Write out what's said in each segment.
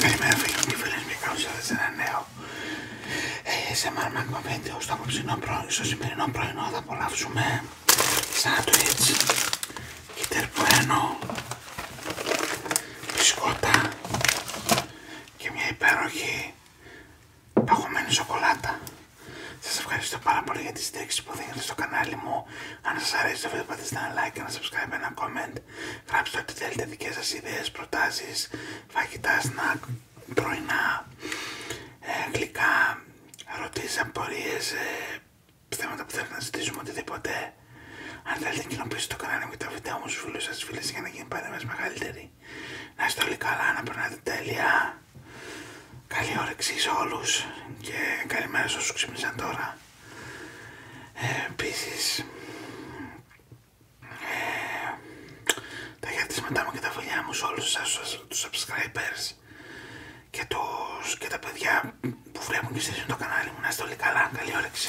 Καλημέρα φίλοι και φίλες μου και καλώς ήρθατε σε ένα νέο σε Magma βίντεο στο απόψινό στο σημερινό πρωινό θα απολαύσουμε σάντουιτς, κιτερπουένο, μπισκότα και μια υπέροχη παγωμένη σοκολάτα. Σας ευχαριστώ πάρα πολύ για τη στήριξη που δίνετε στο κανάλι μου αν σας αρέσει το βίντεο πατήστε ένα like, ένα subscribe, ένα comment. Γράψτε ό,τι θέλετε δικές σας ιδέες, προτάσεις, φαγητά, σνακ, πρωινά, ε, γλυκά, ρωτήσεις, απορίες, ε, θέματα που θέλετε να ζητήσουμε, οτιδήποτε. Αν θέλετε να κοινοποιήστε το κανάλι μου και τα βίντεο μου στους φίλους σας, φίλες για να γίνει παρέμβαση μεγαλύτερη. Να είστε όλοι καλά, να περνάτε τέλεια. Καλή όρεξη σε όλους και καλημέρα σε όσους ξύπνησαν τώρα. Επίση, ε, τα χαιρετίσματά μου και τα φιλιά μου σε όλους τους subscribers και, τους, και τα παιδιά που βλέπουν και στηρίζουν το κανάλι μου. Να είστε όλοι καλά. Καλή όρεξη.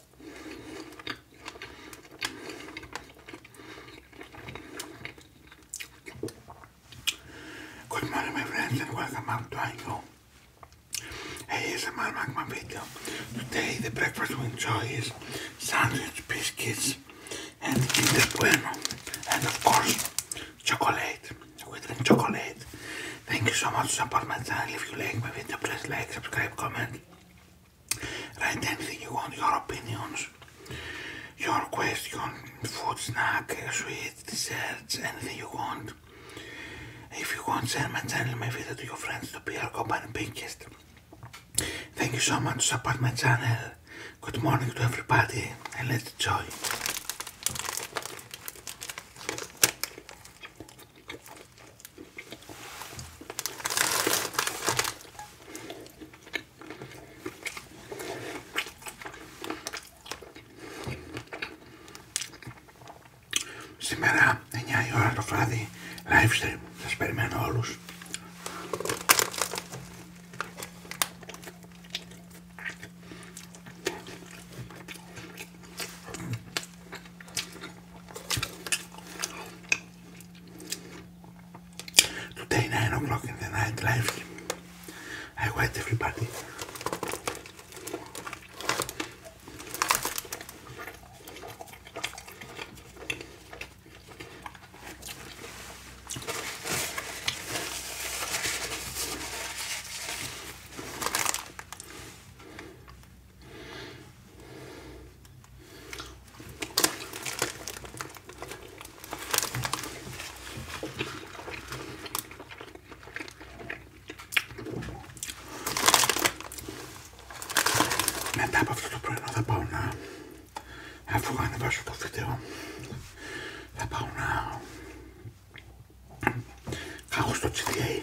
Good morning my friends and welcome back to Ango ASMR Magma video. Today the breakfast we enjoy is sandwich, biscuits and Kinder Bueno and of course chocolate. with chocolate. Thank you so much for support my channel. If you like my video please like, subscribe, comment Write anything you want, your opinions, your question, food, snack, sweet, desserts, anything you want. If you want, share my channel, my video to your friends, to be PR Company Pinkist. Thank you so much to support my channel. Good morning to everybody and let's enjoy. Σήμερα 9 η ώρα το βράδυ live stream. περιμένω όλους. Today, 9 o'clock in the night live I wait everybody. Μετά από αυτό το πρωινό θα πάω να, αφού ανεβάσω το βίντεο, θα πάω να κάγω στο GTA.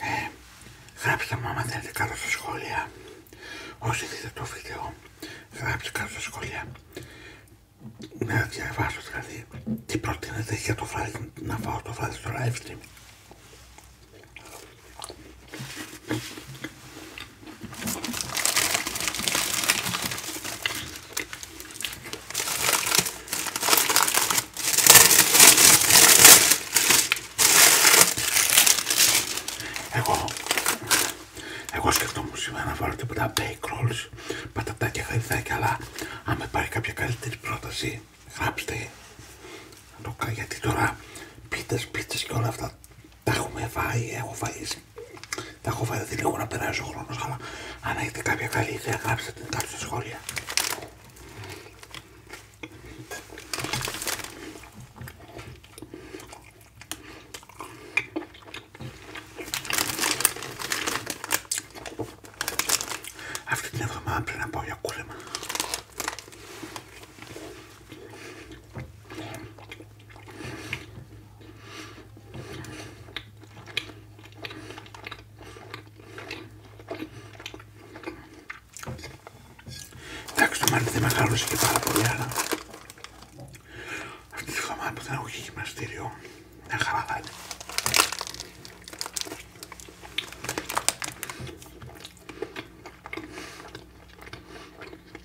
Ε, γράψτε μου άμα θέλετε κάτω στα σχόλια όσοι δείτε το βίντεο γράψτε κάτω στα σχόλια να διαβάσω δηλαδή τι προτείνετε για το βράδυ να φάω το βράδυ στο live stream εγώ, εγώ σκεφτόμουν σήμερα να βάλω τίποτα bake rolls, πατατάκια, γαϊδάκια, αλλά αν με κάποια καλύτερη πρόταση, γράψτε. Γιατί τώρα πίτες, πίτες και όλα αυτά τα έχουμε φάει, έχω φαΐσει. Τα έχω φάει, δεν λίγο να περάσει ο χρόνος, αλλά αν έχετε κάποια καλή ιδέα, γράψτε την κάτω στα σχόλια. Αυτή την εβδομάδα πρέπει να πάω για κούρεμα. Εντάξει το μάτι δεν και πάρα πολύ αλλά αυτή τη χαμάτα που δεν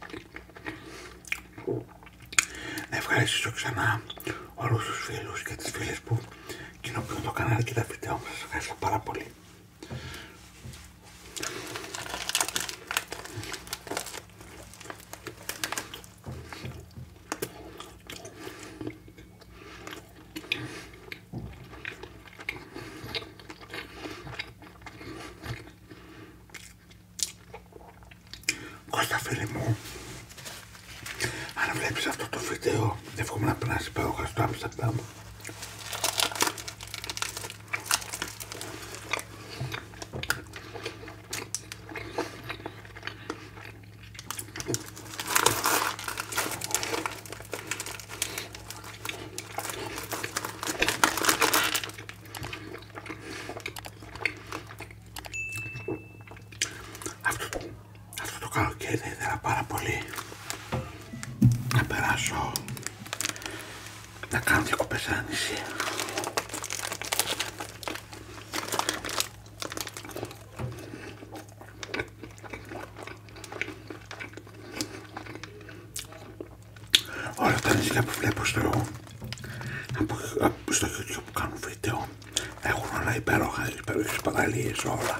δεν να ευχαριστήσω ξανά όλους τους φίλους και τις φίλες που κοινοποιούν το κανάλι και τα βίντεο Σας ευχαριστώ πάρα πολύ. Κώστα φίλε μου, αν βλέπεις αυτό το βίντεο, εύχομαι να περνάς υπέροχα αυτά, Άμστερνταμ. Αυτό, αυτό το καλοκαίρι δεν ήθελα πάρα πολύ να περάσω να κάνω διακοπές όλα τα νησιά που βλέπω στο, στο YouTube που κάνω βίντεο έχουν όλα υπέροχα, υπέροχες παραλίες όλα.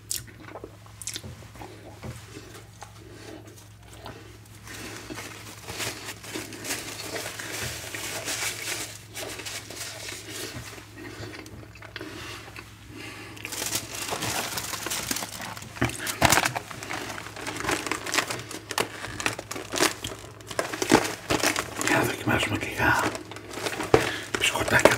Για να δοκιμάσουμε και για μπισκοτάκια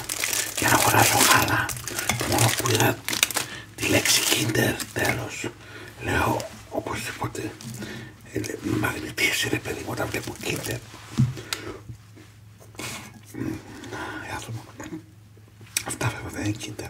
για να αγοράσω χάλα το μόνο που είδα τη λέξη Kinder τέλος λέω οπωσδήποτε Μαγνητή είναι παιδί μου όταν βλέπω Kinder αυτά βέβαια δεν είναι Kinder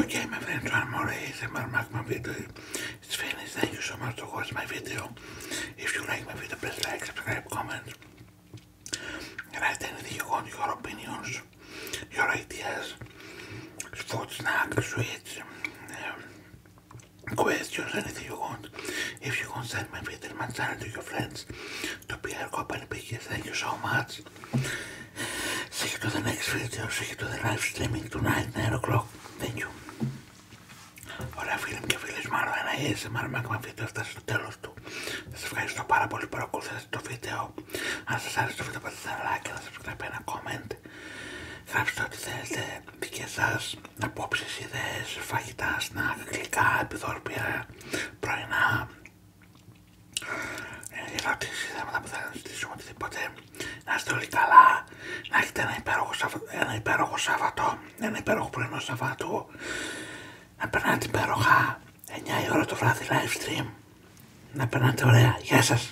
Okay, my friends, one more ASMR my video It's finished. Thank you so much for watching my video. If you like my video, please like, subscribe, comment. Write anything you want, your opinions, your ideas, food, snacks, sweets, um, questions, anything you want. If you want, send my video Peterman channel to your friends, to be PR Company Pickers, thank you so much. See you to the next video, see you to the live streaming tonight, 9 o'clock. Thank you. Ωραία φίλοι μου και φίλες μου, άλλο ένα ASMR Magma βίντεο έφτασε στο τέλος του. Σας ευχαριστώ πάρα πολύ που παρακολουθήσατε το βίντεο. Αν σας άρεσε το βίντεο, πατήστε ένα like και να subscribe ένα comment γράψτε ό,τι θέλετε, δικές σας απόψει ιδέες, φαγητά, σνακ, γλυκά, επιδόρπια, πρωινά, ε, ερωτήσεις, θέματα που θέλετε να συζητήσουμε, οτιδήποτε. Να είστε όλοι καλά, να έχετε ένα υπέροχο, ένα υπέροχο Σάββατο, ένα υπέροχο πρωινό Σαββάτου, να περνάτε υπέροχα, 9 η ώρα το βράδυ live stream, να περνάτε ωραία. Γεια σας!